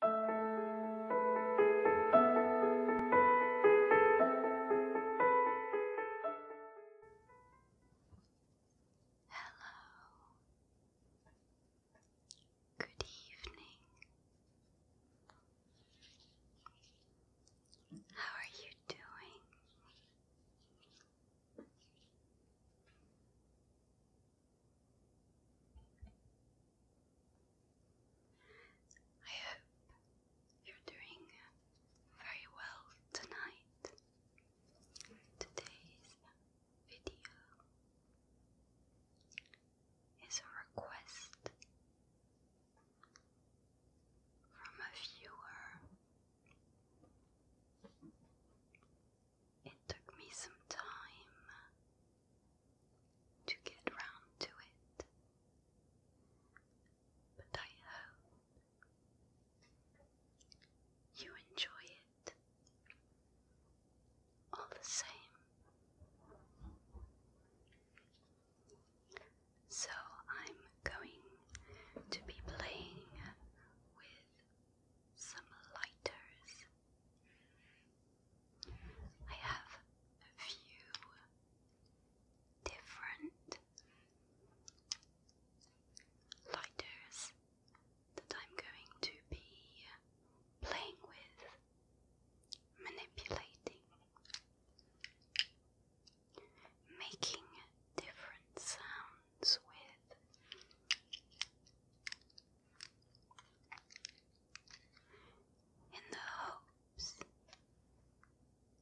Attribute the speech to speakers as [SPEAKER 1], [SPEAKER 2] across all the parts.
[SPEAKER 1] Hello. Good evening. How are you doing? I hope you're doing very well tonight. Today's video is a request from a viewer it took me some time to get round to it, but I hope you enjoy it all the same. So I'm going to be playing with some lighters. I have a few different lighters that I'm going to be playing with, manipulating, making different sounds ones with in the hopes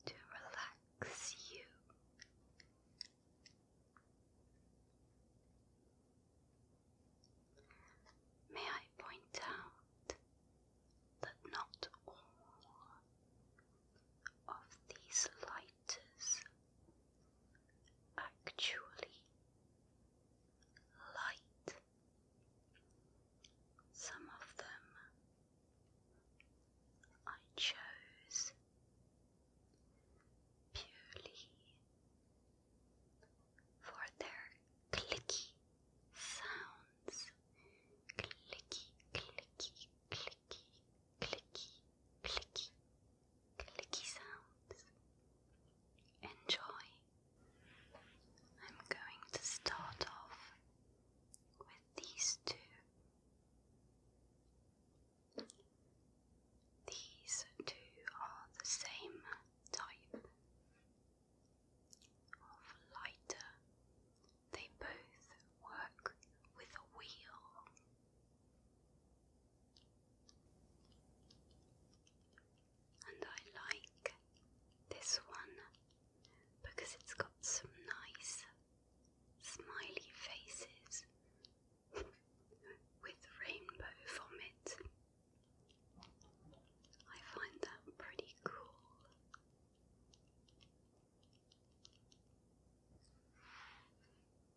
[SPEAKER 1] to relax you. May I point out that not all of these lighters actually light. Some of them I chose purely for their clicky sounds. Clicky, clicky, clicky, clicky clicky, clicky sounds. Enjoy. I'm going to start off with these two. These two are the same type of lighter. They both work with a wheel. And I like this one because it's got some nice smiley faces with rainbow vomit. I find that pretty cool.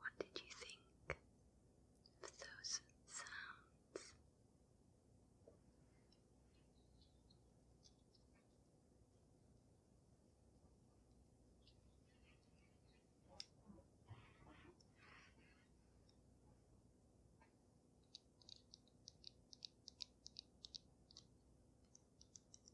[SPEAKER 1] What did you think of those sounds?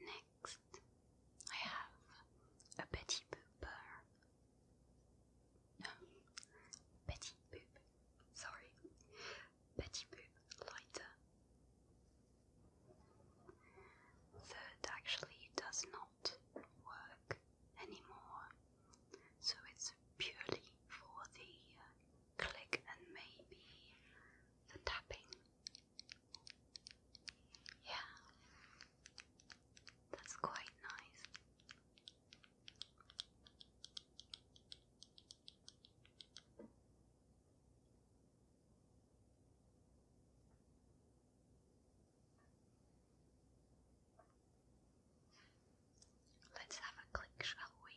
[SPEAKER 1] Next, I have a petit pooper. No, petit poop. Sorry, petit poop lighter that actually does not work anymore. So it's purely for the uh, click and maybe the tapping. Yeah, that's quite nice. Let's have a click, shall we?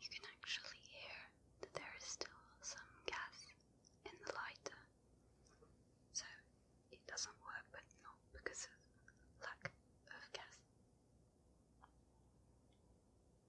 [SPEAKER 1] You can actually hear that there is still some gas in the lighter, so it doesn't work, but not because of lack of gas.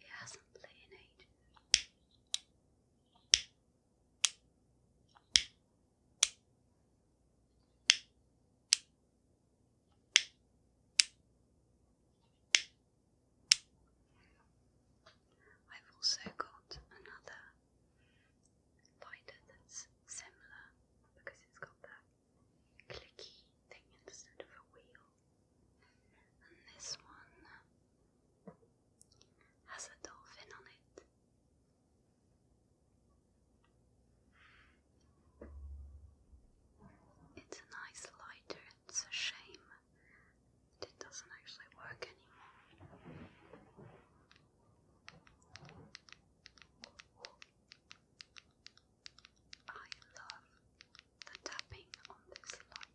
[SPEAKER 1] it hasn't lit in I've also got another lighter that's similar because it's got that clicky thing instead of a wheel this one has a dolphin on it. It's a nice lighter, it's a shame it doesn't actually work anymore. I love the tapping on this light.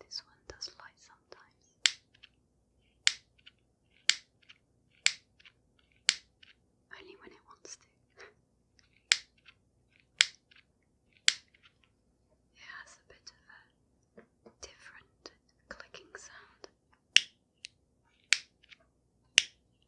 [SPEAKER 1] This one does light sometimes. Only when it wants to. it has a bit of a different clicking sound.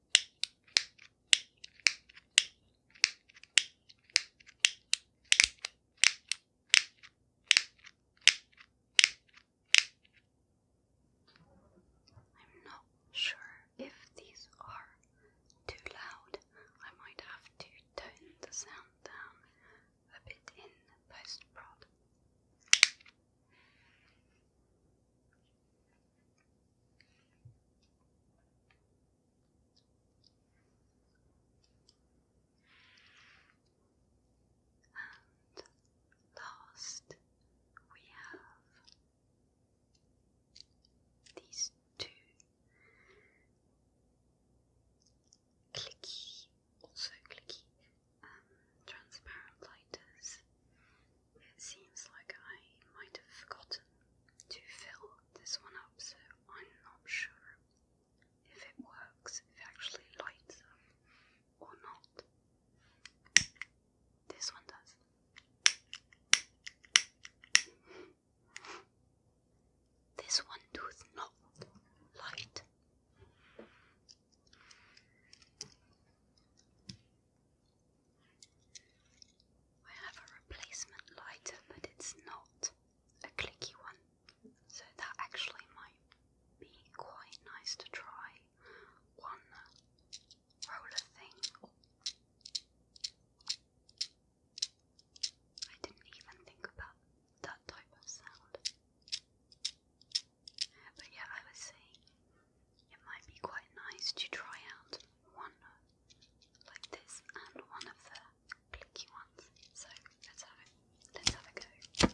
[SPEAKER 1] I'm not sure if these are too loud. I might have to tone the sound down a bit in post prod. And last, we have these two clicky, also clicky, um, transparent lighters. It seems like I might have forgotten to fill this one up, so I'm not sure if it works, if it actually lights up or not. This one does. This one does not light. I have a replacement lighter, but it's not a clicky one, so that actually might be quite nice to try one roller thing. I didn't even think about that type of sound. But yeah, I was saying it might be quite nice to try out one like this and one of the clicky ones. So let's have it. Let's have a go.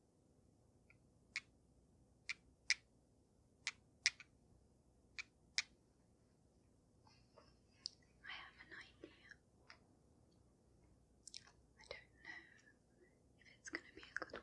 [SPEAKER 1] I have an idea. I don't know if it's going to be a good one.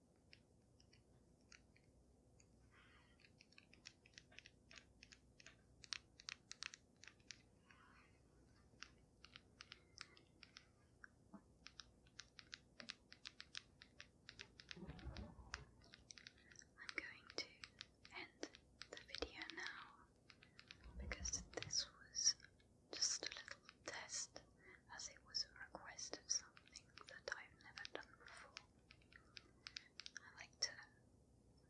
[SPEAKER 1] I'm going to end the video now because this was just a little test as it was a request of something that I've never done before. I like to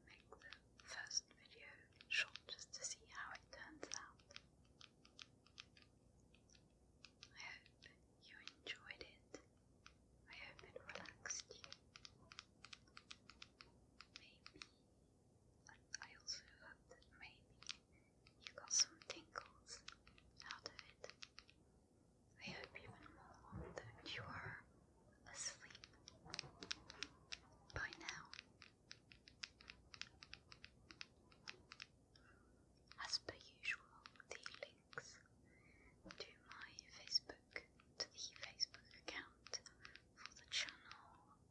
[SPEAKER 1] make the first video short just to see how it turns out. I hope you enjoyed it. I hope it relaxed you. Maybe, I also hope that maybe you got some tingles out of it. I hope even more that you are asleep by now. As per usual, the links to my Facebook, to the Facebook account for the channel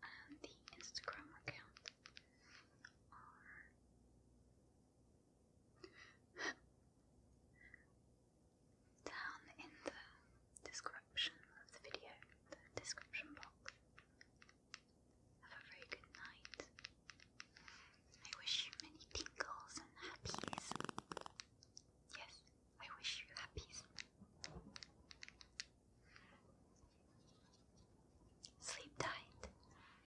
[SPEAKER 1] and the Instagram account are down in the description of the video, the description box. Have a very good night. I wish you many tingles and happies. Yes, I wish you happies. Sleep tight.